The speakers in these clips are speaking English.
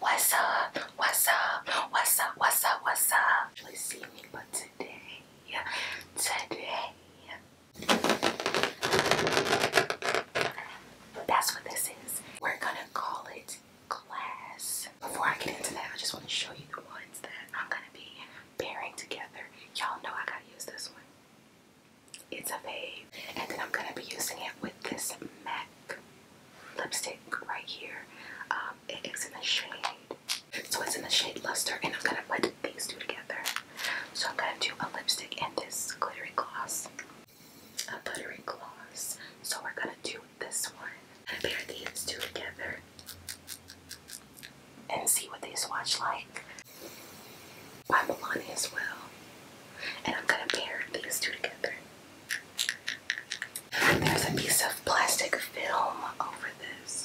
What's up? What's up? What's up? What's up? What's up? Usually see me, but today, today, that's what this is. We're gonna call it class. Before I get into that, I just want to show you the ones that I'm gonna be pairing together. Y'all know I gotta use this one. It's a fave, and then I'm gonna be using it with this MAC lipstick right here. Um, it is in the shade. So it's in the shade Luster, and I'm gonna put these two together. So I'm gonna do a lipstick and this glittery gloss. A buttery gloss. So we're gonna do this one. i pair these two together and see what they swatch like. By Milani as well and I'm gonna pair these two together. there's a piece of plastic film over this.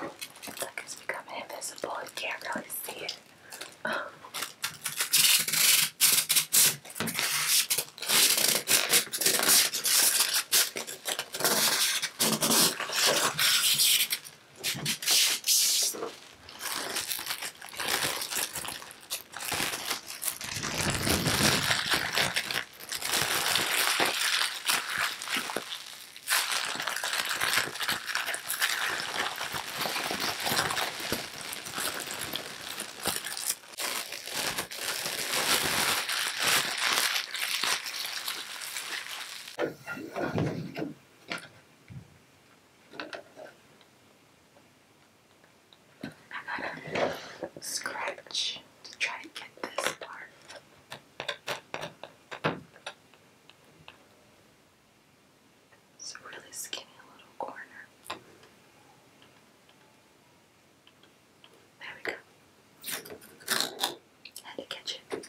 Like it's becoming invisible. You can't really see it. Oh. I gotta scratch to try to get this part. It's a really skinny little corner. There we go. Had to catch it.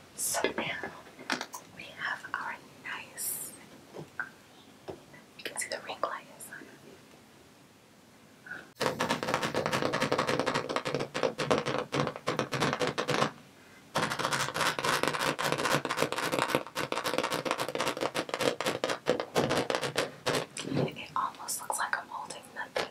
So now we have our nice you can see the ring light inside It almost looks like I'm holding nothing.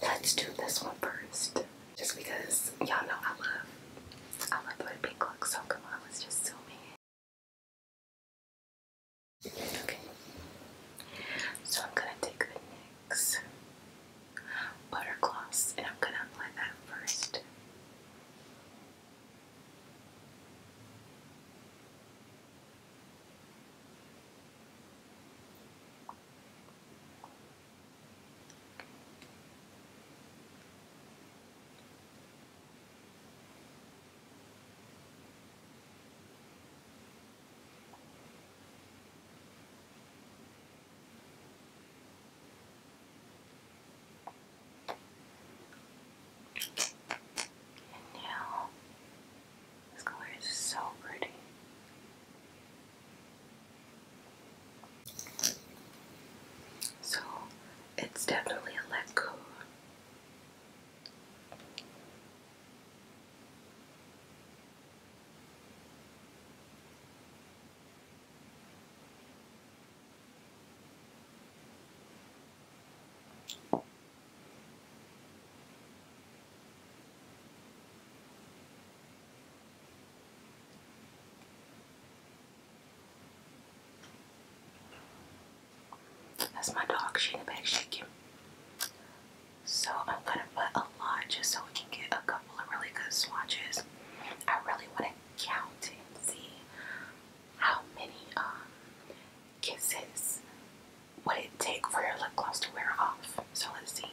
Let's do this one first. Just because y'all know I love I love the pink looks, so come on, let's just zoom in. Okay. So I'm gonna take the NYX butter gloss and I'm gonna apply that first. And now, this color is so pretty. So it's definitely a let that's my dog, she in the back So I'm gonna put a lot just so we can get a couple of really good swatches. I really wanna count and see how many um, kisses would it take for your lip gloss to wear off. So let's see.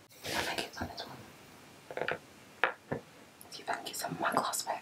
I think it's on this one. Do you think it's on my glass back?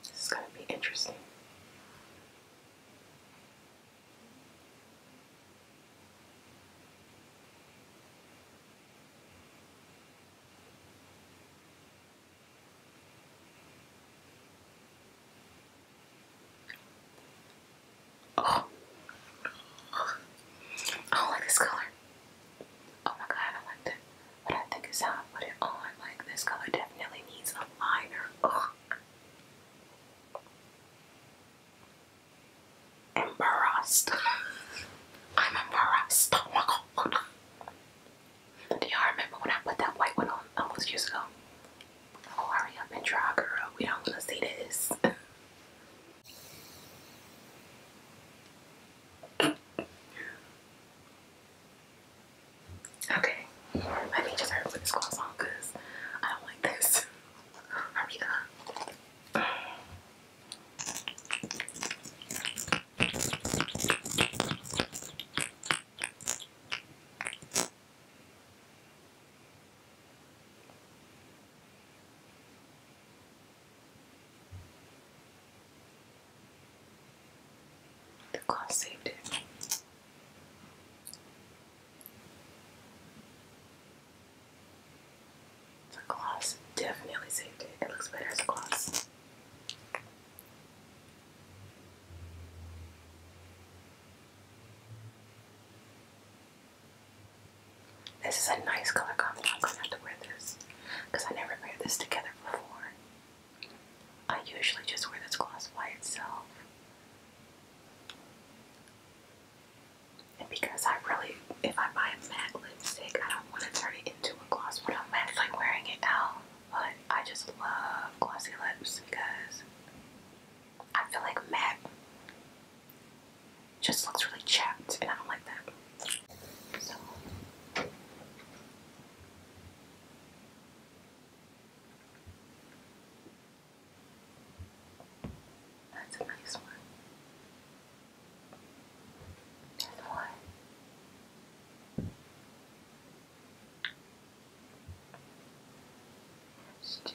This is going to be interesting. Oh. I don't like this color. Oh my god, I like that. But I think it's how I put it on. Like this color definitely needs a liner. Ugh. Embarrassed. I'm embarrassed. Oh my god. Do y'all remember when I put that white one on almost years ago? Oh, hurry up and draw, girl. We don't want to see this. Okay, I need to turn over this on because I don't like this. Hurry up. The car saved it. The gloss definitely saved it. It looks better as a gloss. This is a nice color combo. I'm gonna have to wear this because I never wear this together before. I usually just wear this gloss by itself. And because I really, if I buy a matte lipstick, I don't want to turn it into a gloss But I'm like wearing it out. But I just love glossy lips because I feel like matte just looks really chapped, and I don't like that. That's a nice one. There's one. two.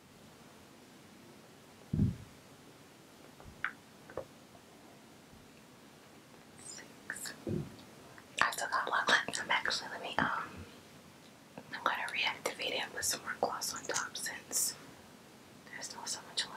Six. I still got one left. I'm actually let me um I'm gonna reactivate it with some more gloss on top since there's not so much left.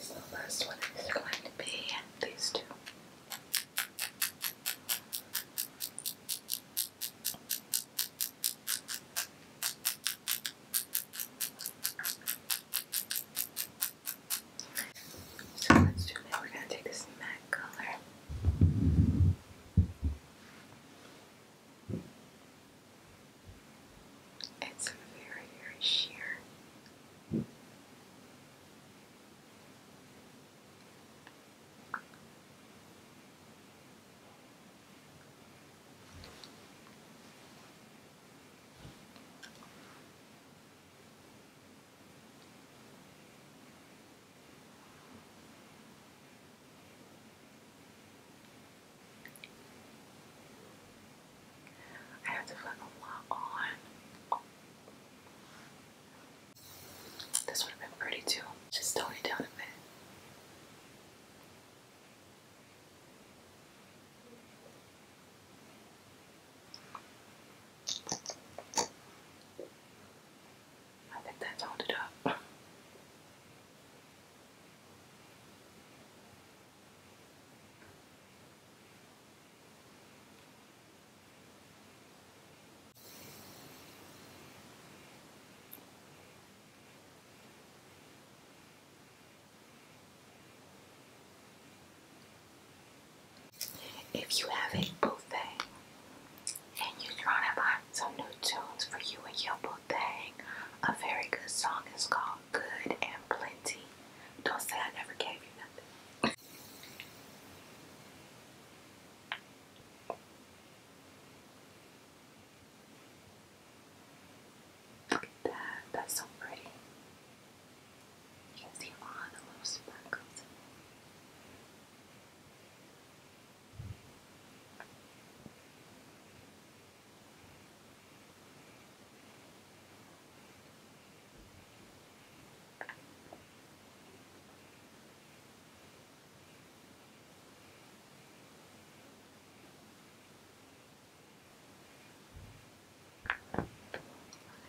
Is the last one is going to be these two. So let's do now. We're going to take this matte color. It's a very, very sheer. I have to put a lot on. This would have been pretty too. Just tone it down a bit. I think that toned it up. If you have a buffet and you're trying to buy some new tunes for you and your a very good song is called Good and Plenty. Don't say I never gave you nothing. Look at that, that's so pretty. You can see all the little sparkles.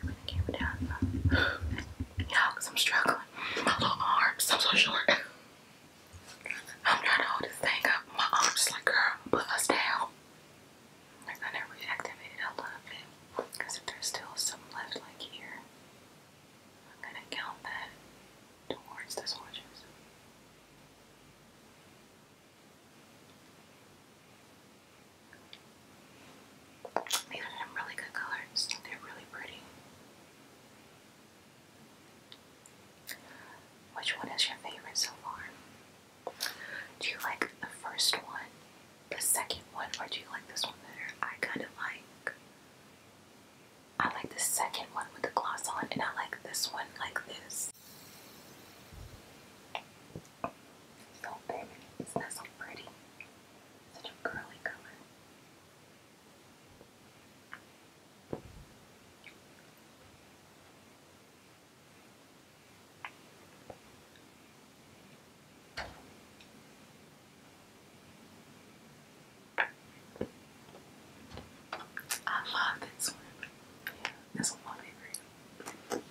I'm gonna keep it down. Y'all, i I'm struggling. My little arms, I'm so short. I'm trying to hold this thing up. My arm's like, girl, put us down. Like, I never reactivated a little bit. Because there's still some left, like here, I'm gonna count that towards the soldiers. These are some really good colors. They're really pretty. Which one is your favorite so far? Do you like the first one, the second one, or do you like this one better? I kind of like. I like the second one with the gloss on, and I like this one like this. So baby, isn't that so pretty? Such a curly color. I love this one. this one's my favorite.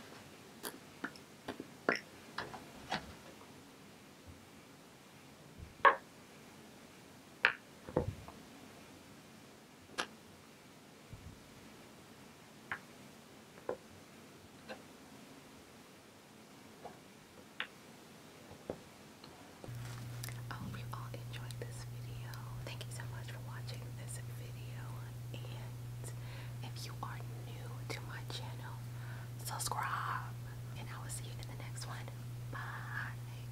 I hope you all enjoyed this video. Thank you so much for watching this video. And if you are new to my channel, subscribe. And I will see you in the next one. Bye.